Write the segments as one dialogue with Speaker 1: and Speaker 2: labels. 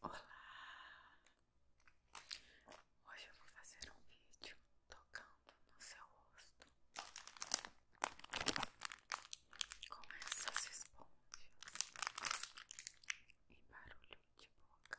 Speaker 1: Olá! Hoje eu vou fazer um vídeo tocando no seu rosto com se esponjas e barulho de boca.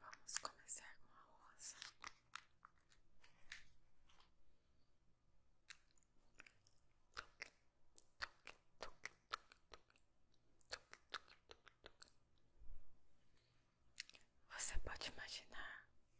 Speaker 1: Vamos começar com a rosa. Tuc, tuc, tuc, tuc, tuc, tuc, tuc, tuc. Você pode imaginar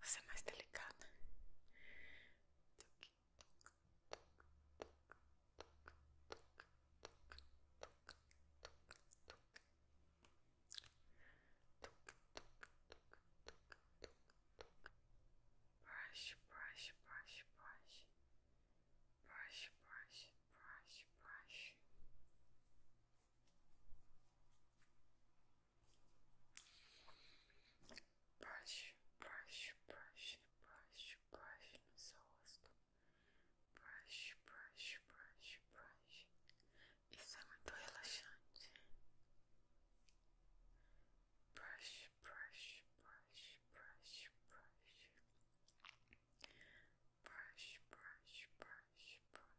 Speaker 2: Você é mais delicada. Brush, brush, brush, brush. Brush, brush, brush, brush brush, brush, brush, brush, brush no seu rosto. Brush, brush, brush, brush. Isso é muito relaxante. Brush, brush, brush, brush, brush. Brush, brush, brush, brush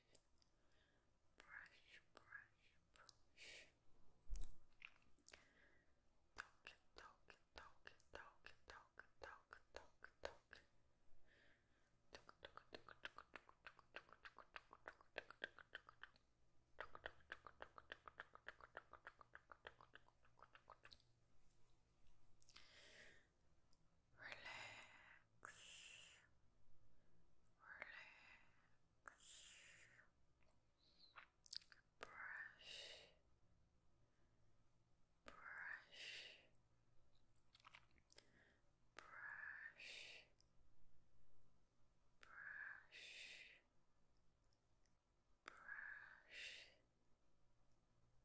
Speaker 2: brush, brush, brush. Talk, talk, talk, talk, talk, talk, talk, talk. Talk,
Speaker 1: relax, relax, brush, brush, brush, brush. Brush,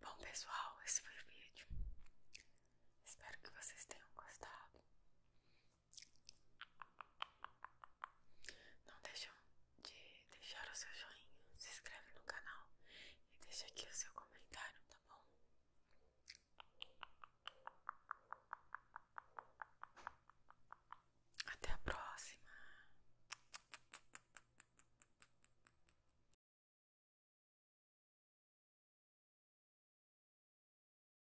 Speaker 2: Bom, pessoal, esse foi o vídeo. Espero que vocês tenham gostado. Não deixam de deixar o seu joinha, se inscreve no canal e deixa aqui o seu comentário, tá bom? Até a próxima!